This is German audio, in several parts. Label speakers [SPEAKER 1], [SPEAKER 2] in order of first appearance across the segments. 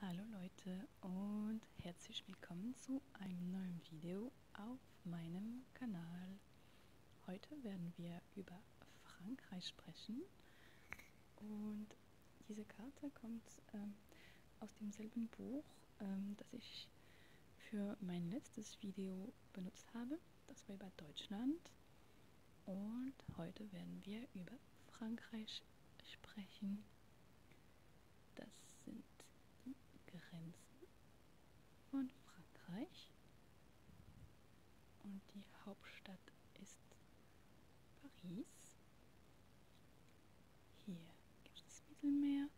[SPEAKER 1] Hallo Leute und herzlich willkommen zu einem neuen Video auf meinem Kanal. Heute werden wir über Frankreich sprechen und diese Karte kommt ähm, aus demselben Buch, ähm, das ich für mein letztes Video benutzt habe. Das war über Deutschland. Und heute werden wir über Frankreich sprechen. Das sind die Grenzen von Frankreich. Und die Hauptstadt ist Paris. Hier gibt es das Mittelmeer,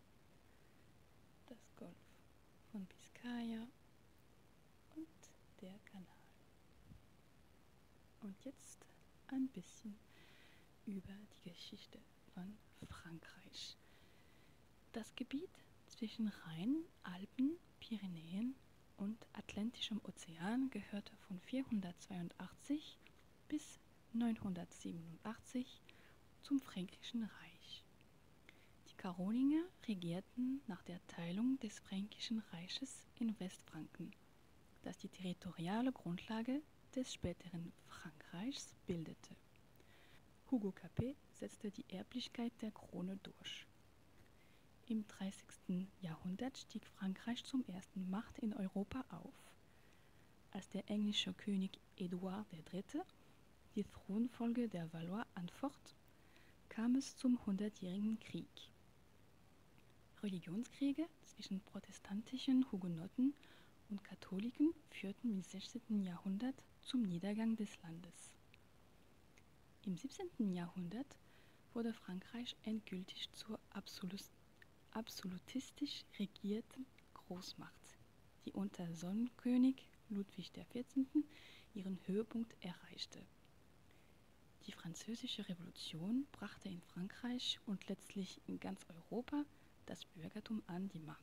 [SPEAKER 1] das Golf von Biscaya und der Kanal. Und jetzt ein bisschen über die Geschichte von Frankreich. Das Gebiet zwischen Rhein, Alpen, Pyrenäen und Atlantischem Ozean gehörte von 482 bis 987 zum Fränkischen Reich. Die Karolinger regierten nach der Teilung des Fränkischen Reiches in Westfranken, das die territoriale Grundlage des späteren Frankreichs bildete. Hugo Capet setzte die Erblichkeit der Krone durch. Im 30. Jahrhundert stieg Frankreich zum ersten Macht in Europa auf. Als der englische König Eduard III., die Thronfolge der Valois anfocht, kam es zum Hundertjährigen Krieg. Religionskriege zwischen protestantischen Hugenotten und Katholiken führten im 16. Jahrhundert zum Niedergang des Landes. Im 17. Jahrhundert wurde Frankreich endgültig zur absolutistisch regierten Großmacht die unter Sonnenkönig Ludwig XIV. ihren Höhepunkt erreichte. Die Französische Revolution brachte in Frankreich und letztlich in ganz Europa das Bürgertum an die Macht.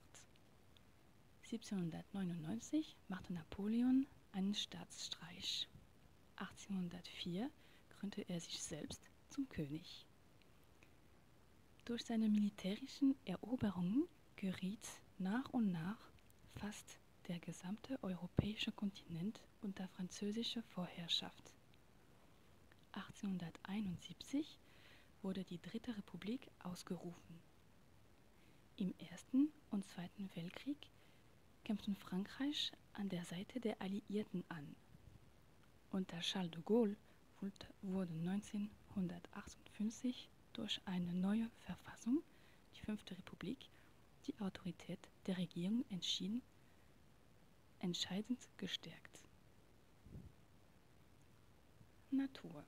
[SPEAKER 1] 1799 machte Napoleon einen Staatsstreich. 1804 krönte er sich selbst zum König. Durch seine militärischen Eroberungen geriet nach und nach fast der gesamte europäische Kontinent unter französische Vorherrschaft. 1871 wurde die Dritte Republik ausgerufen. Im Ersten und Zweiten Weltkrieg kämpften Frankreich an der Seite der Alliierten an. Unter Charles de Gaulle wurde 1958 durch eine neue Verfassung, die Fünfte Republik, die Autorität der Regierung entscheidend gestärkt. Natur.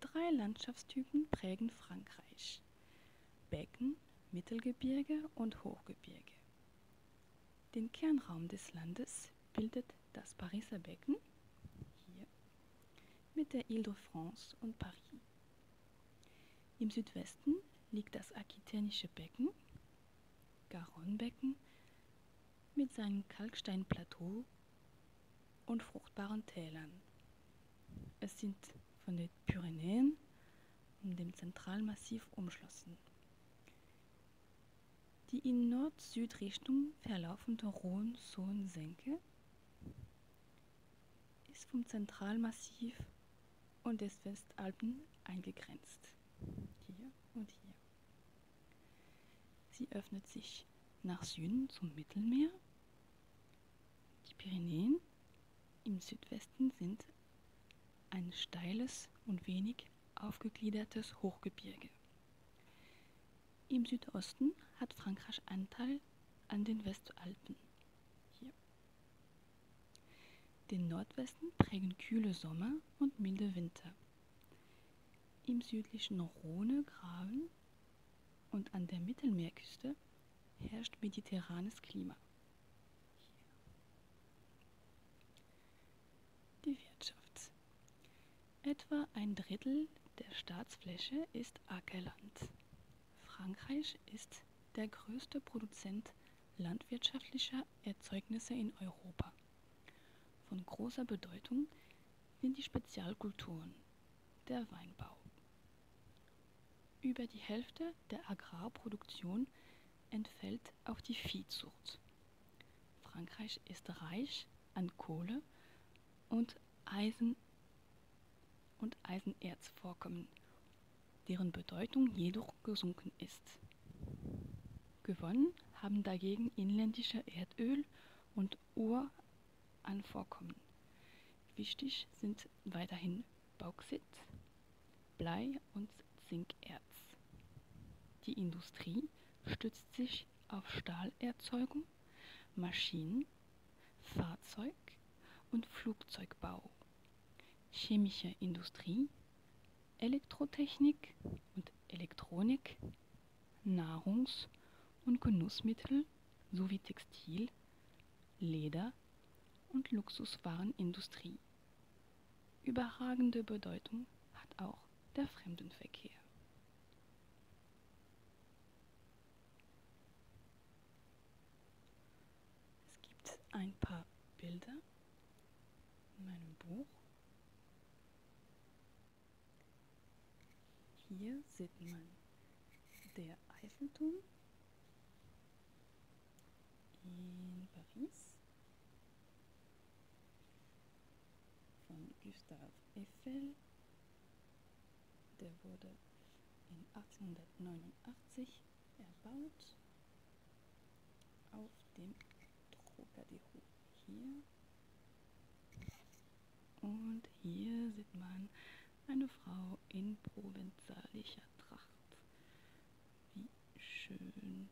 [SPEAKER 1] Drei Landschaftstypen prägen Frankreich. Becken, Mittelgebirge und Hochgebirge. Den Kernraum des Landes bildet das Pariser Becken hier mit der Ile-de-France und Paris. Im Südwesten liegt das Aquitänische Becken, Garonne-Becken, mit seinem Kalksteinplateau und fruchtbaren Tälern. Es sind von den Pyrenäen und dem Zentralmassiv umschlossen die in Nord-Süd-Richtung verlaufende Rhön-Sohn-Senke ist vom Zentralmassiv und des Westalpen eingegrenzt. Hier und hier. Sie öffnet sich nach Süden zum Mittelmeer, die Pyrenäen im Südwesten sind ein steiles und wenig aufgegliedertes Hochgebirge. Im Südosten hat Frankreich Anteil an den Westalpen. Hier. Den Nordwesten prägen kühle Sommer und milde Winter. Im südlichen Rhone, Graben und an der Mittelmeerküste herrscht mediterranes Klima. Die Wirtschaft. Etwa ein Drittel der Staatsfläche ist Ackerland. Frankreich ist der größte Produzent landwirtschaftlicher Erzeugnisse in Europa. Von großer Bedeutung sind die Spezialkulturen, der Weinbau. Über die Hälfte der Agrarproduktion entfällt auf die Viehzucht. Frankreich ist reich an Kohle und Eisen und Eisenerzvorkommen, deren Bedeutung jedoch gesunken ist. Gewonnen haben dagegen inländische Erdöl und Uranvorkommen. Wichtig sind weiterhin Bauxit, Blei und Zinkerz. Die Industrie stützt sich auf Stahlerzeugung, Maschinen, Fahrzeug und Flugzeugbau, chemische Industrie, Elektrotechnik und Elektronik, Nahrungs- und Genussmittel sowie Textil, Leder- und Luxuswarenindustrie. Überragende Bedeutung hat auch der Fremdenverkehr. Es gibt ein paar Bilder in meinem Buch. Hier sieht man der Eiffelturm in Paris von Gustave Eiffel. Der wurde in 1889 erbaut auf dem Trocadero hier und hier sieht man eine Frau in provenzalischer Tracht. Wie schön.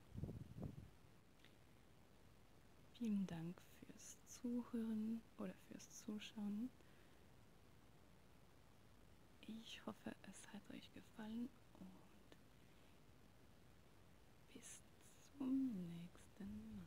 [SPEAKER 1] Vielen Dank fürs Zuhören oder fürs Zuschauen. Ich hoffe, es hat euch gefallen und bis zum nächsten Mal.